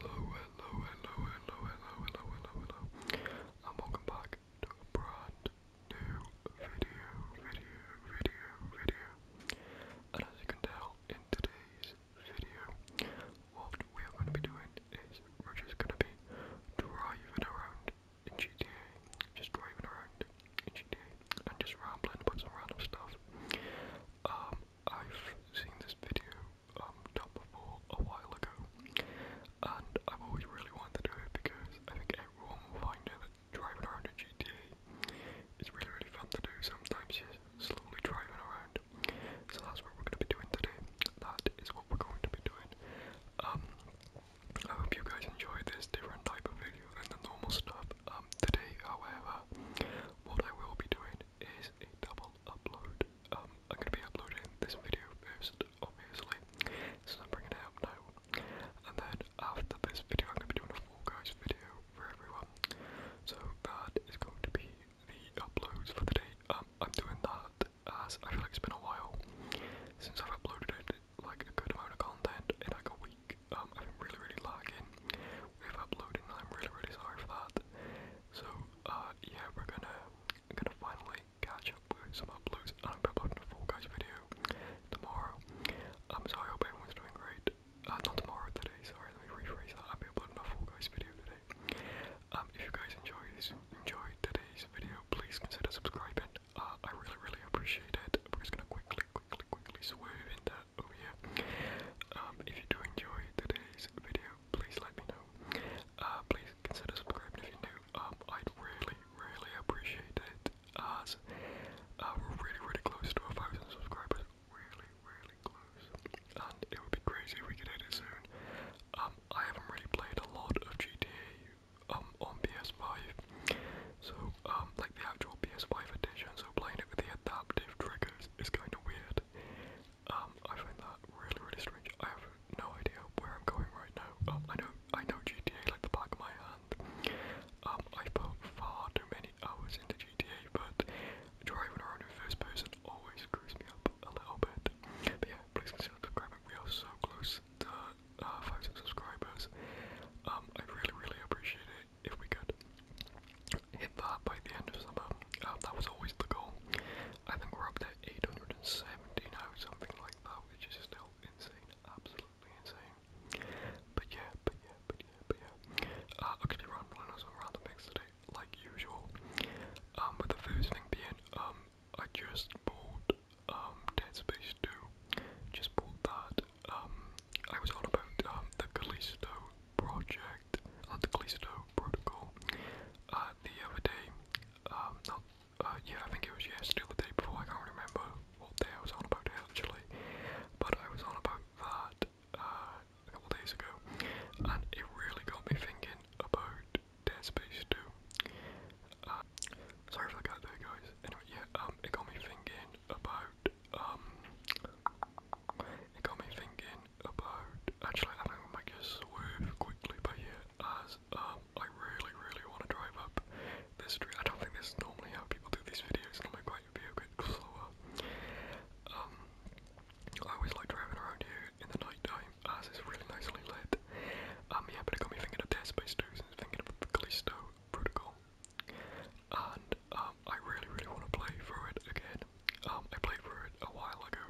Hello, hello, hello, hello, hello, hello, hello, hello, and welcome back to a brand new video, video, video, video. And as you can tell in today's video, what we are going to be doing is we're just going to be driving around in GTA, just driving around in GTA, and just rambling about some random stuff. Um, I've seen this video um, top before a while ago, and I've always really wanted to do it because I think everyone will find it driving around in GTA is really, really fun to do. Sometimes you're slowly driving around, so that's what we're going to be doing today. That is what we're going to be doing. Um, I hope you guys enjoy this different type of video than the normal stuff. Um, today, however, what I will be doing is a double upload. Um, I'm going to be uploading this video first, obviously, since I'm bringing it out now. And then after this video, I'm going to be doing a Fall Guys video for everyone. So that is going to be the uploads for the day. Um, I'm doing that as I feel like it's been a while since I've uploaded like a good amount of content in like a week. Um, I've really, really lagging with uploading. I'm really really sorry for that. So uh yeah, we're gonna gonna finally catch up with some uploads and I'm uploading a full guys video tomorrow. I'm um, sorry, hope everyone's doing great. Uh not tomorrow today, sorry, let me rephrase that. I'll be uploading a full guys video today. Um if you guys enjoy this enjoy today's video, please consider subscribing. Uh I really really appreciate it. We're just gonna quickly, quickly, quickly swerve into oh yeah. Um, if you do enjoy today's video, please let me know. Uh, please consider subscribing if you're new. Um, I'd really, really appreciate it. As uh, uh, we're really, really close to a thousand subscribers. Really, really close. And it would be crazy if we could hit it soon. Um, I haven't really played a lot of GTA um on PS5. So um like the actual PS5 edition, so playing it with the adaptive triggers is, is kind of weird. Um, I find that really, really strange. I have no idea where I'm going right now. Um, I know, I know GTA like the back of my hand. Um, I put far too many hours into GTA, but driving around in first person always screws me up a little bit. But yeah, please consider subscribing. We are so close to uh, 5,000 subscribers. Um, I really, really appreciate it if we could hit that by the end of summer. Uh, that was always the goal. I think we're up to 870 now, something like that, which is still insane, absolutely insane. But yeah, but yeah, but yeah, but yeah. Uh, I'm gonna be rambling on some random things today, like usual. Um, with the first thing being, um, I just bought um Dead Space 2. Just bought that um, I was on about um, the Galileo project, not uh, the Galileo protocol, uh, the other day. Um, not, uh, yeah, I think it was yesterday or the day before. I can't remember what day I was on about actually, but I was on about that uh, a couple days ago, and it really got me thinking about Dead Space 2. Uh, sorry if I got there, guys. Anyway, yeah, um, it got me thinking about um it got me thinking about actually having to make a swerve quickly by here as um, I really, really want to drive up this street. I don't think this is normally how people do these videos, normally quite a bit slower. Um, I always like driving around here in the night time as it's really nicely lit. Um, yeah, but it got me thinking of Dead Space 2 since thinking of the Callisto Protocol and um, I really, really want to play through it again. Um, I played through it a while ago,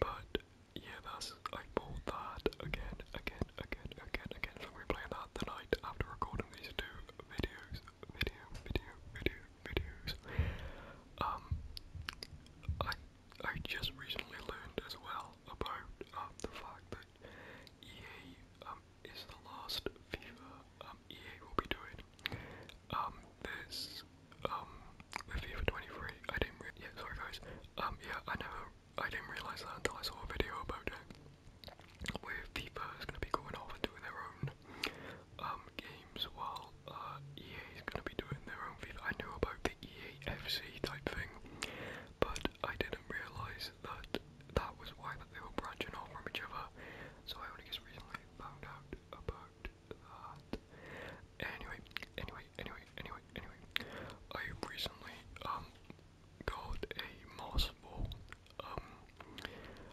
but yeah, that's I bought that again, again, again, again, again. we're playing that tonight after recording these two videos, video, video, video, videos. Um, I I just recently learned as well about uh, the fact that EA um, is the last FIFA um, EA will be doing. Um, there's um, FIFA 23. I didn't. yeah, sorry guys. Um, yeah, I never. I didn't realize that until I saw a video about it. Where FIFA is going to be going off and doing their own um, games, while uh, EA is going to be doing their own FIFA. I knew about the EAFC type thing, but I didn't realise that that was why that they were branching off from each other. So I only just recently found out about that. Anyway, anyway, anyway, anyway, anyway. I recently um got a mouse ball. Um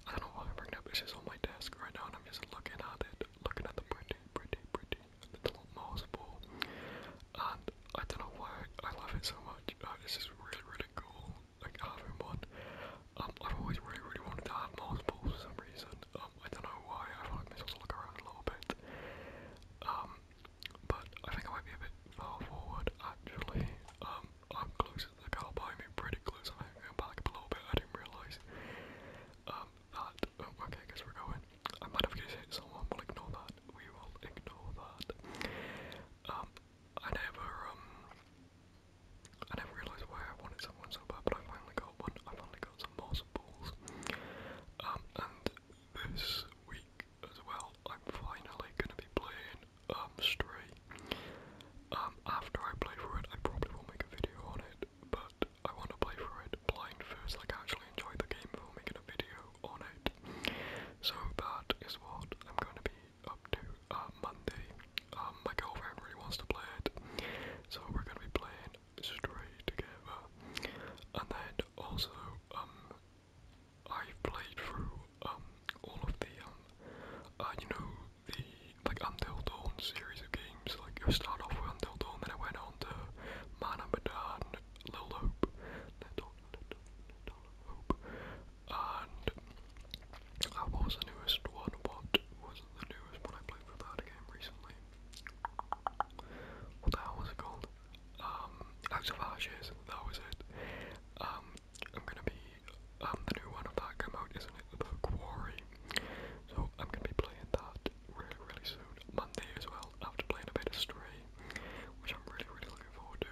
I don't know why I'm bringing it up, it's just on my desk right now and I'm just looking at it, looking at the pretty, pretty, pretty little moss ball. And I don't know why I love it so much. this is really, really cool like having one. Um, I've always really, really wanted to have multiple for some reason. Um, I don't know why. I feel like this will look around a little bit. Um, but I think I might be a bit far forward actually. Um, I'm closer to the car by me, pretty close. I'm going back up a little bit. I didn't realise. Um, that. Um, okay, I guess we're going. I might have just hit someone. We'll ignore that. We will ignore that. Um, I never, um, I never realised why I wanted someone so bad, but I finally got one. I finally got some awesome balls. Um, and this week as well, I'm finally gonna be playing straight. Um, Stray. Um, after I play for it, I probably will make a video on it, but I want to play for it blind first, like actually enjoy the game before making a video all night. So that is what I'm going to be up to uh, Monday. Um, my girlfriend really wants to play it, so we're going to be playing straight together. And then also, um, I've played through um all of the um, uh, you know the like Until Dawn series of games. Like you start off with Until Dawn, then I went on to Man and Hope, dollar and that was the newest one. What was the newest one I played for that game recently? What the hell was it called? Um, House That was it. Um, I'm gonna be um the new one of that come out, isn't it? The Quarry. So I'm gonna be playing that really, really soon. Monday as well. After playing a bit of Stray which I'm really, really looking forward to.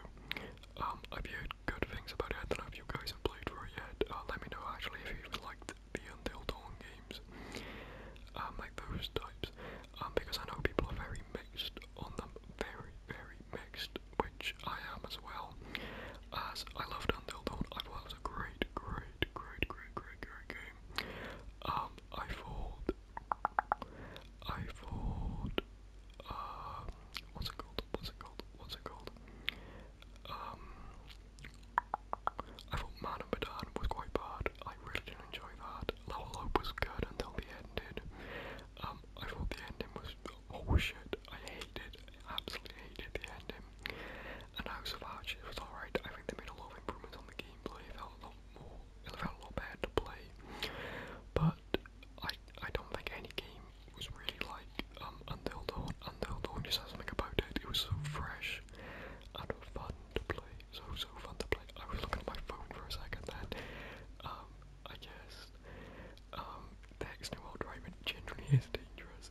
Um, I've heard good things about it. I don't know if you guys have played through it yet. Uh, let me know actually if you liked the Until Dawn games, um, like those types, um, because I know people are very mixed on them, very, very mixed, which I am as well. As I loved Until Dawn, I thought it was a great, great, great, great, great, great game. Um, I thought I fought. Um, what's it called? What's it called? What's it called? Um, I thought Man and Medan was quite bad. I really didn't enjoy that. Level Up was good until the ending. Um, I thought the ending was oh shit. I hated, absolutely hated the ending. And House of ah, it was alright. I think they made a lot of improvements on the gameplay more Ilvalobad to play, but I I don't think any game was really like um, Until Dawn. Until Dawn just has something about it. It was so fresh and fun to play. So so fun to play. I was looking at my phone for a second then. Um, I guess um, the X Driving generally is dangerous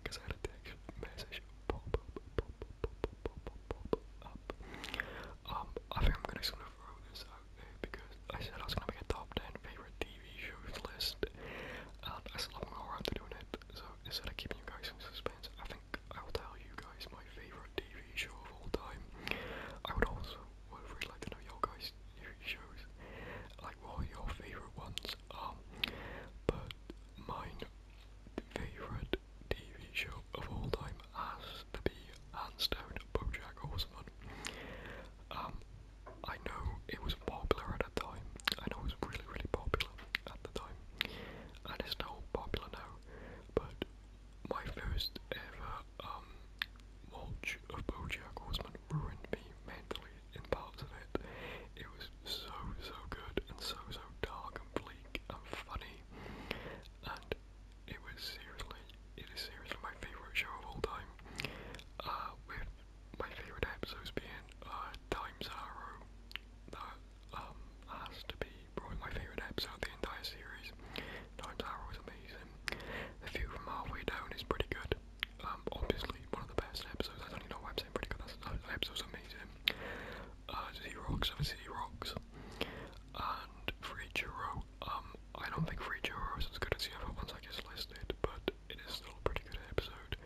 because uh, I had a text message pop up um, I think I'm gonna sort of throw this out because I said I was gonna make a top 10 favorite TV shows list, and I still haven't got around to doing it. So instead of keeping you guys in suspense, I think I'll tell you guys my favorite TV show of all time. I would also would really like to know your guys' TV shows, like what are your favorite ones. Um, but mine favourite TV show of all time has to be hands down BoJack Horseman. Um, I know it was popular at the time. I know it was really, really popular at the time, and it's still popular now. But my first ever um watch of BoJack Horseman ruined me mentally in parts of it. It was so, so good and so, so dark and bleak and funny and it was seriously, it is seriously my favourite show of all time. Uh, with my favourite episodes being uh, Time's Arrow. That um, has to be probably my favourite episode of the entire series. Time's Arrow is amazing. The view from halfway down is pretty good. Um, obviously one of the best episodes. I don't even know why I'm saying pretty good. That episode's amazing. Uh, Z Rocks, obviously Z Rocks. And Free Churro, um, I don't think Free Jiro is as good as the other ones I just listed, but it is still a pretty good episode.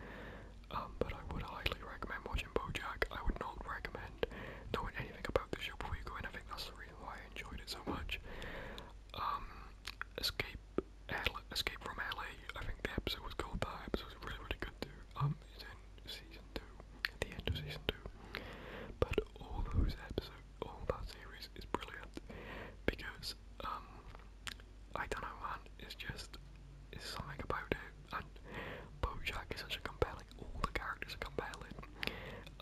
Um, but I would highly recommend watching Bojack. I would not recommend knowing anything about the show before you go in. I think that's the reason why I enjoyed it so much. Um, Escape, L Escape from LA. I think the episode was called that. Episode was really, really good too. Um, season two, the end of season two. But all those episodes, all that series is brilliant because um, I don't know, man. It's just it's something about it, and BoJack is such a compelling. All the characters are compelling.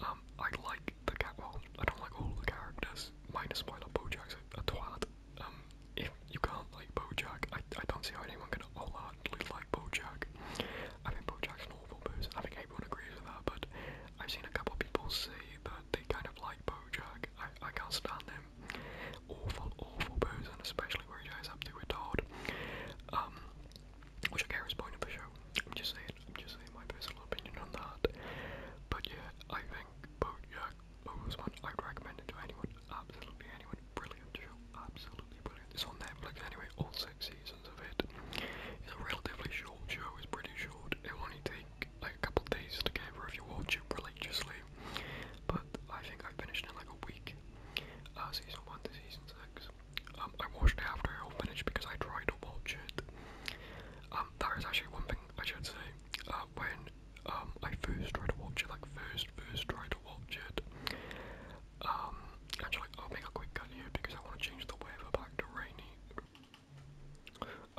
Um, I like the cat. Well, I don't like all the characters. Minus spoiler, BoJack's a, twat. Um, if you can't like BoJack, I I don't see how anyone can all oh, hardly like BoJack. I mean, BoJack's an awful person. I think everyone agrees with that, but I've seen a couple people say that they kind of like BoJack. I, I can't stand him. Awful, awful and especially where he goes up to a Todd. Um, which I care is point of the show. I'm just saying, I'm just saying my personal opinion on that. But yeah, I think BoJack one. I'd recommend it to anyone, absolutely anyone brilliant show, absolutely brilliant. It's on Netflix anyway, all six seasons of it. It's a relatively short show, it's pretty short. It'll only take like a couple days to get over if you watch it religiously. But I think I finished in like a week. Uh, season one to season six. Um, I watched it after I finished because I tried to watch it. Um, that is actually one thing I should say. Uh, when um, I first tried to watch it, like first, first try actually, um, I'll make a quick cut here because I want to change the weather back to rainy.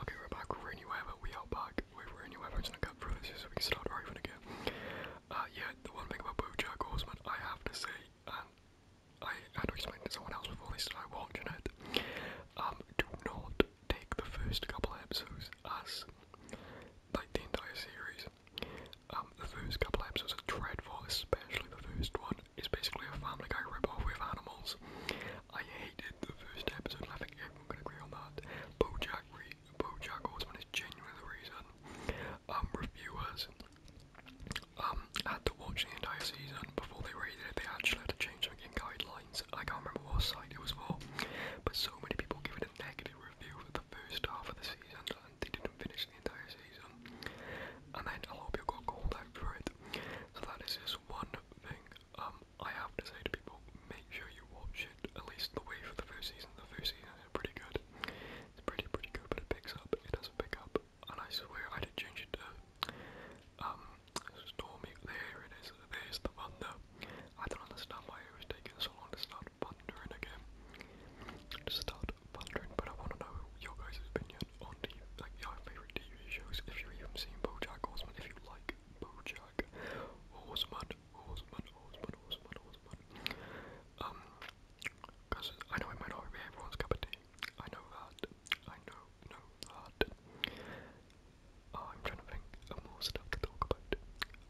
Okay, we're back with rainy weather. We are back with rainy weather. I'm just gonna cut this so we can start driving again. Uh, yeah, the one thing about BoJack Horseman, I have to say, and I had to explain to someone else before they started watching it. Um, do not take the first couple episodes as like the entire series. Um, the first couple episodes are dreadful, especially the first one. It's basically a Family Guy ripoff with animals. I hated the first episode, and I think everyone can agree on that. BoJack, Re BoJack Horseman is genuinely the reason. Um, reviewers um, had to watch the entire season before they rated it. They actually had to change something guidelines. I can't remember what site it was for, but so many people give it a negative they were revealed for the first half of the season and they didn't finish the entire season. And then a lot of people got called out for it. So that is just one thing um, I have to say to people, make sure you watch it at least the way for the first season. The first season is pretty good. It's pretty, pretty good, but it picks up. It doesn't pick up. And I swear I did change it to um, Stormy. There it is. There's the thunder. I don't understand why it was taking so long to start pondering again. To start pondering, but I want to know your guys' opinion on the, like your favourite TV shows. If you've even seen BoJack Horseman, if you like BoJack Horseman, Horseman, Horseman, Horseman, Horseman. Um, because I know it might not be everyone's cup of tea. I know that. I know, know that. Oh, I'm trying to think of more stuff to talk about.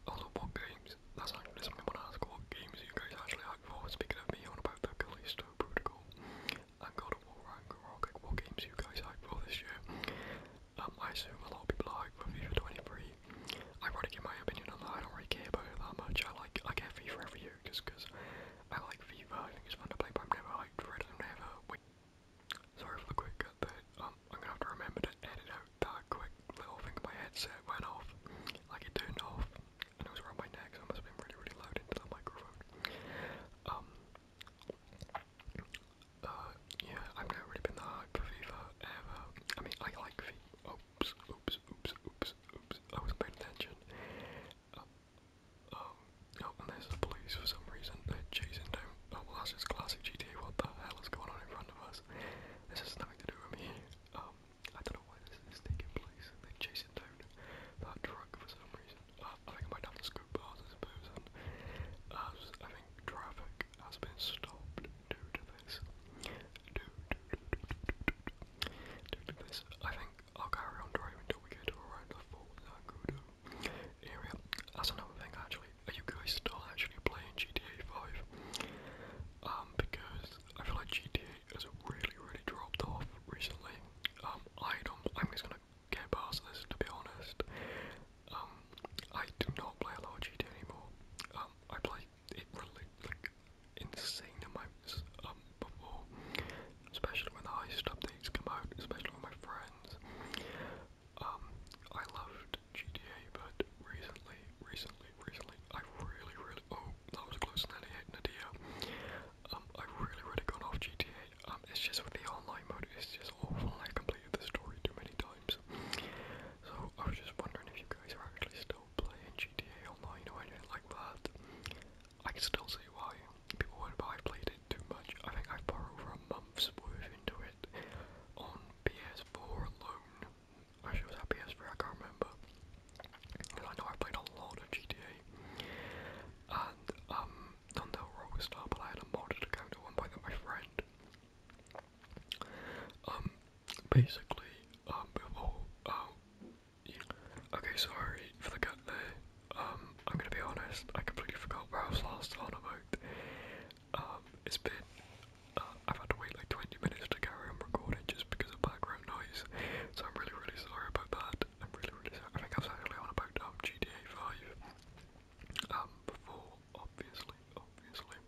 Also, what games? That's actually something I want to ask. What games you guys actually hyped for? Speaking of me on about the Callisto Protocol am gonna War Ragnarok, like, what games you guys hyped for this year? Um, I assume a lot of people are hyped for FIFA 23. I to give my opinion on that. I don't really care about that much. I like I get FIFA every year just because I like FIFA. I think it's fun to play, but I'm never hyped for it. I'm never. Wait. Sorry for the quick cut Um, I'm gonna have to remember to edit out that quick little thing my headset went off. Like it turned off, and it was around my neck, I must have been really, really loud into the microphone. Um, uh, yeah, I've never really been that hyped for FIFA ever. I mean, I like FIFA. Oops, oops, oops, oops, oops. I wasn't paying attention. Um, oh, and there's the police for some reason. They're chasing down oh that's just classic GTA, what the hell is going on in front of us? This has nothing to do with me. Um, I don't know why this is taking place. They're chasing down that truck for some reason. I think I might have to scoop past this person. As I think traffic has been stopped due to this. Due, due, due, due, due, due, due to this. I think I'll carry on driving until we get to around the Fort Nagudu area. That's another thing actually. Are you guys still actually playing GTA 5? Um, because I feel like GTA has really, really dropped off recently. Um, I don't. I'm just gonna get past this to be honest. Um, I do not play a lot of GTA anymore. Um, I play it really like insane amounts. Um, before, especially when the heist updates come out, especially with my friends. Um, I loved GTA, but recently, recently, recently, I've really, really, oh, that was close, Nadia, um, I've really, really gone off GTA, um, it's just with the online mode, it's just awful, I completed the story too many times, so I was just wondering if you guys are actually still playing GTA Online or anything like that, I can still see why people would, buy I played too much. I think I've put over a month's worth into it on PS4 alone. Actually, was that PS3? I can't remember. I know I played a lot of GTA. And, um, not the Rockstar, but I had a modded account at one point that my friend. Um, basically, um, before, um, uh, okay, sorry for the Um, I'm gonna be honest, I completely forgot where I was last on about. Um, it's been. Uh, I've had to wait like 20 minutes to carry on recording just because of background noise, so I'm really, really sorry about that. I'm really, really sorry. I think I am actually on about um, GTA 5 um, before, obviously, obviously.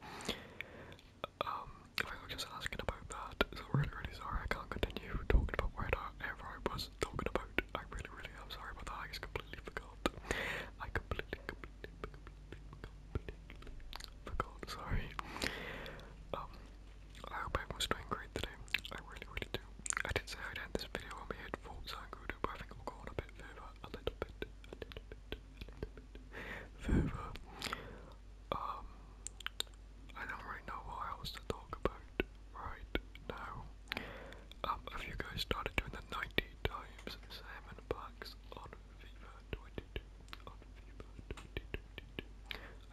Um, I think was just asking about that, so really, really sorry I can't continue talking about where I was talking about. I really, really am sorry about that. I just completely forgot. I completely, completely, completely, completely forgot. Sorry. Um, I hope everyone's doing great today. I really, really do. I did say I'd end this video when we hit Forza and Grudo, but I think we'll go on a bit further, a little bit, further. Um, I don't really know what else to talk about right now. Um, have you guys started doing the 90 times salmon packs on FIFA 22?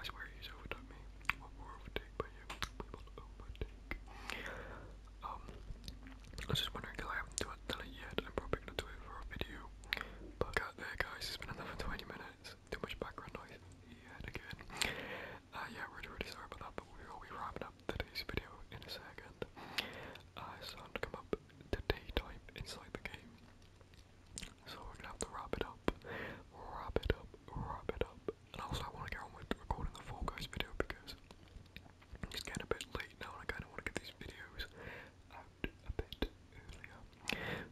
I swear he's overdone me. What will overtake by you? We will overtake. Um, I was just wondering because I haven't done it yet. I'm probably gonna do it for a video. But out guys, it's been another 20 minutes. Too much background noise yet again. Uh, yeah, really, really sorry about that, but we will be wrapping up today's video in a second. Uh, it's to come up to daytime inside the game. So we're gonna have to wrap it up, wrap it up, wrap it up. And also I wanna get on with recording the Fall Guys video because it's getting a bit late now and I kinda wanna get these videos out a bit earlier.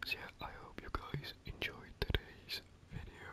So yeah, I hope you guys enjoyed today's video.